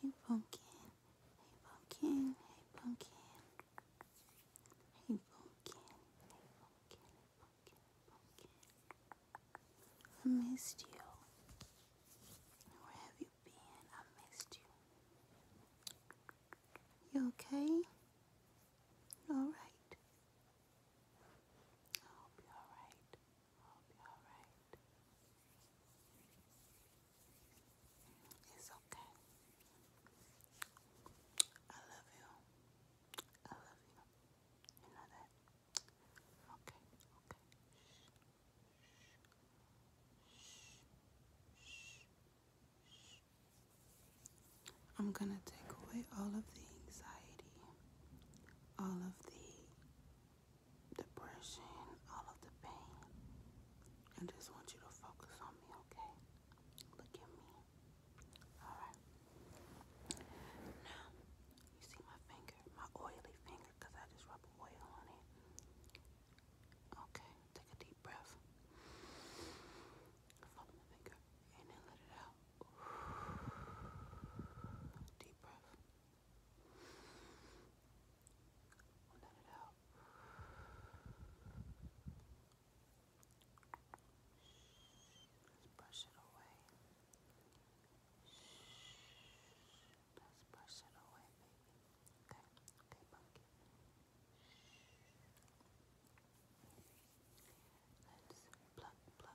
Hey pumpkin, hey pumpkin, hey pumpkin. Hey pumpkin, hey pumpkin, hey pumpkin, pumpkin. I missed you. Where have you been? I missed you. You okay? Alright. I hope you're alright. I'll be alright. It's okay. I love you. I love you. You know that? Okay, okay. Shh. Shh. Shh. I'm gonna take away all of the anxiety, all of the depression, all of the pain. I just want you to focus on me, okay? Look at me. Alright. Now, you see my finger, my oily finger, because I just rub oil on it. Okay, take a deep breath. Follow my finger and then let it out. Deep breath. We'll let it out. Let's brush it away. Let's brush it away, baby. Okay, okay, monkey. Let's pluck, pluck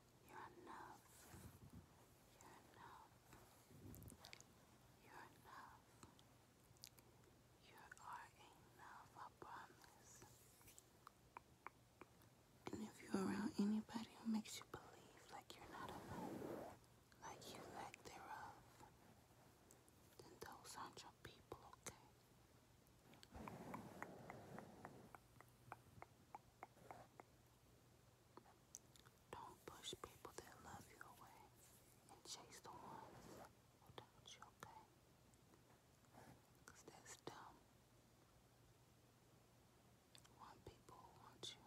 You're enough. You're enough. You're enough. You are enough, I promise. And if you're around anybody who makes you believe like you're not enough, like you lack thereof, then those aren't your people, okay? Don't push people that love you away and chase the ones who doubt you, okay? that's dumb. Want people want you.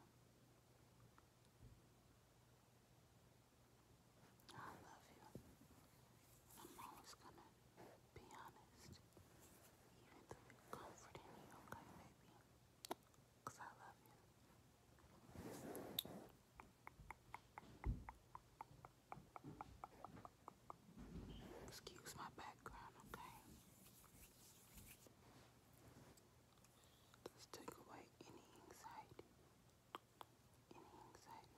I love you. I'm always gonna be honest. Even through it, comfort in you, okay, baby? Because I love you. Excuse my background, okay? Let's take away any anxiety. Any anxiety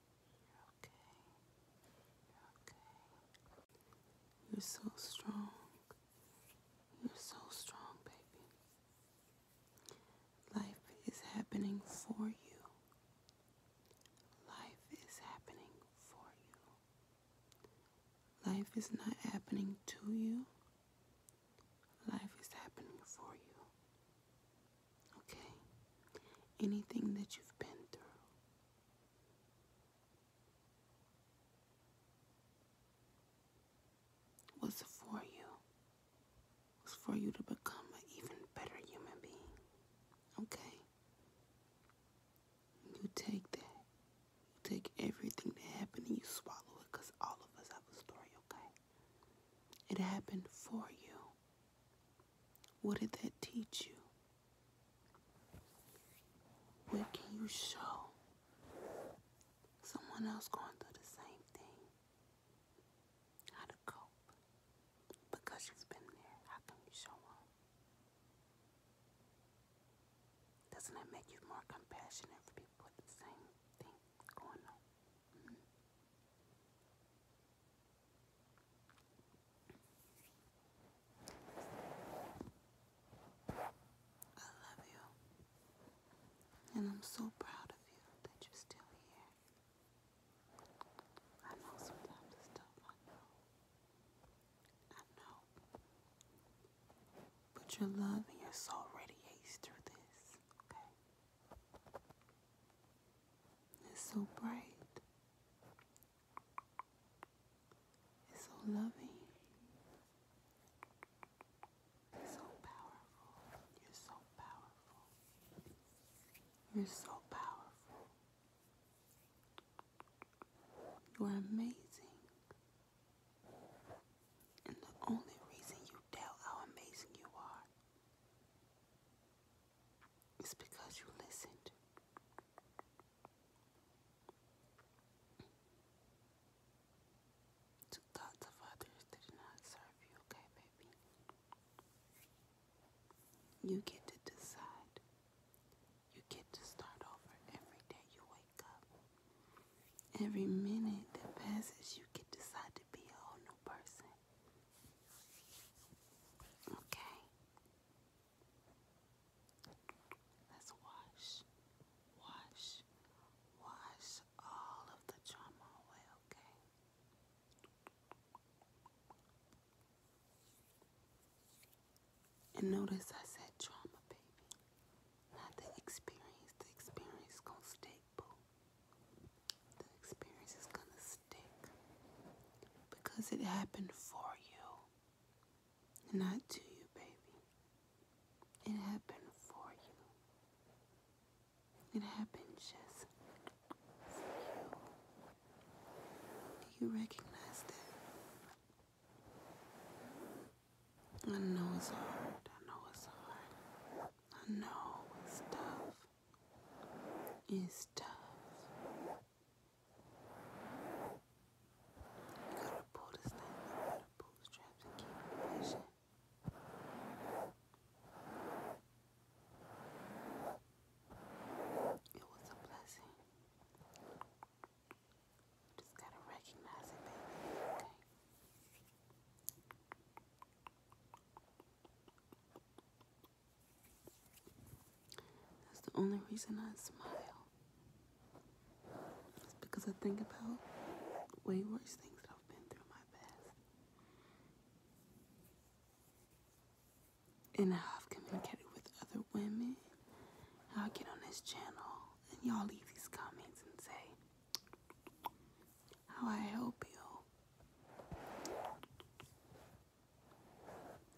You're okay. You're okay. You're so strong. You're so strong, baby. Life is happening for you. Life is happening for you. Life is not happening to you. Life is happening for you. Okay? Anything that you've been through. Was for you. Was for you to become an even better human being. Okay? You take that. You take everything that happened and you swallow it because all of us have a story, okay? It happened for you. What did that teach you? Where can you show someone else going through the same thing? How to cope? Because you've been there, how can you show them? Doesn't that make you more compassionate for people with the same thing going on? Mm-hmm. I love you. And I'm so proud of you that you're still here. I know sometimes it's tough, I know. I know. But your love and your soul radiates through this, okay? It's so bright. It's so loving. It's so powerful. You're so powerful. You're so powerful. You are amazing. And the only reason you doubt how amazing you are is because you listened. To thoughts of others did not serve you, okay, baby? You get to decide. You get to start over every day you wake up. Every minute that passes, you can decide to be a whole new person. Okay. Let's wash, wash, wash all of the trauma away, okay? And notice I said trauma, baby. Not the experience. The experience going stay the experience is going to stick because it happened for you, not to you, baby. It happened for you. It happened just for you. you recognize that? I know it's hard. I know it's hard. I know it's tough. It's tough. You gotta pull this thing out of the bootstraps and keep pushing. It was a blessing just gotta recognize it, baby. That's the only reason I smile. It's because I think about way worse things that I've been through in my past. And I've communicated with other women, how I get on this channel, and y'all leave these comments and say how I help you.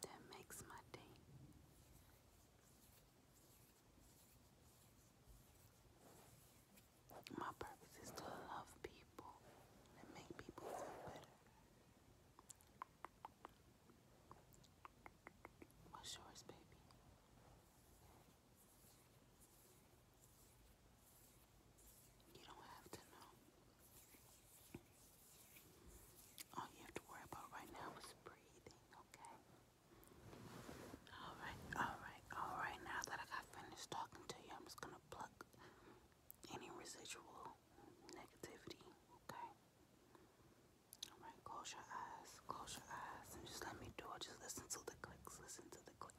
That makes my day. My purpose is to love people and make people feel better. What's yours, baby? You don't have to know. All you have to worry about right now is breathing, okay? Alright, alright, alright. Now that I got finished talking to you, I'm just gonna pluck any residual negativity, okay? Alright, close your eyes, close your eyes, and just let me do it. Just listen to the clicks, listen to the clicks.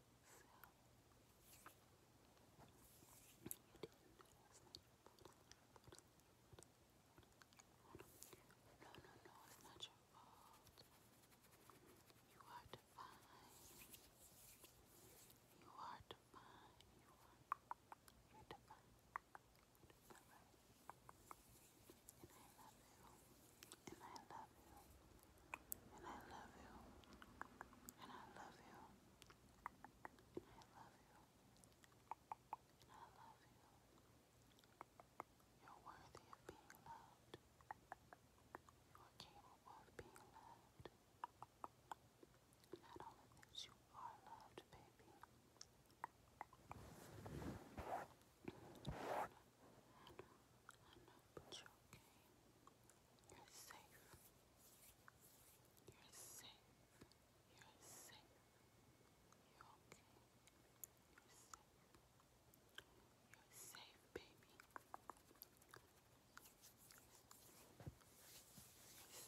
no, no, it's not your fault. You are divine. you're divine. You're divine. And I love you. And I love you. And I love you. And I love you. And I love you. And I love you. You're worthy of being loved. You're capable of being loved. Not only that, you are loved, baby. I know, I know, but you're okay. You're safe. You're safe. You're safe. You're okay. You're safe. You're safe, baby. You're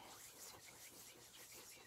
safe. Yes, yes, yes, yes, yes, yes, yes, yes, yes,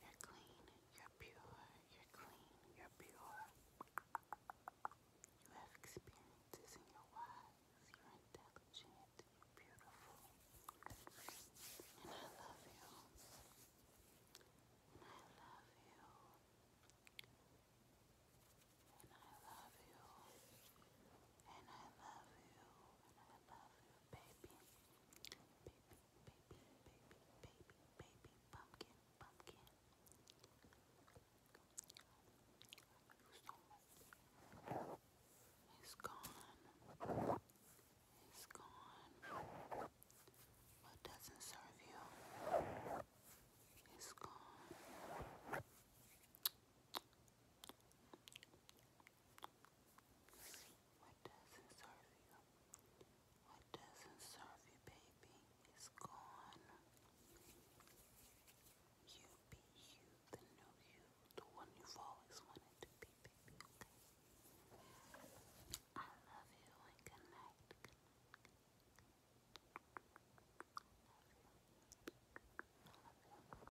You're clean, you're pure, you're clean, you're pure. You have experiences and you're wise, you're intelligent, you're beautiful. And I love you. And I love you. And I love you. And I love you. And I love you baby, baby, baby, baby, baby, pumpkin, pumpkin. He's gone. He's gone. What doesn't serve you? He's gone. What doesn't serve you? What doesn't serve you, baby, is gone. You be you, the new you, the one you've always wanted to be, I love you and good night. you.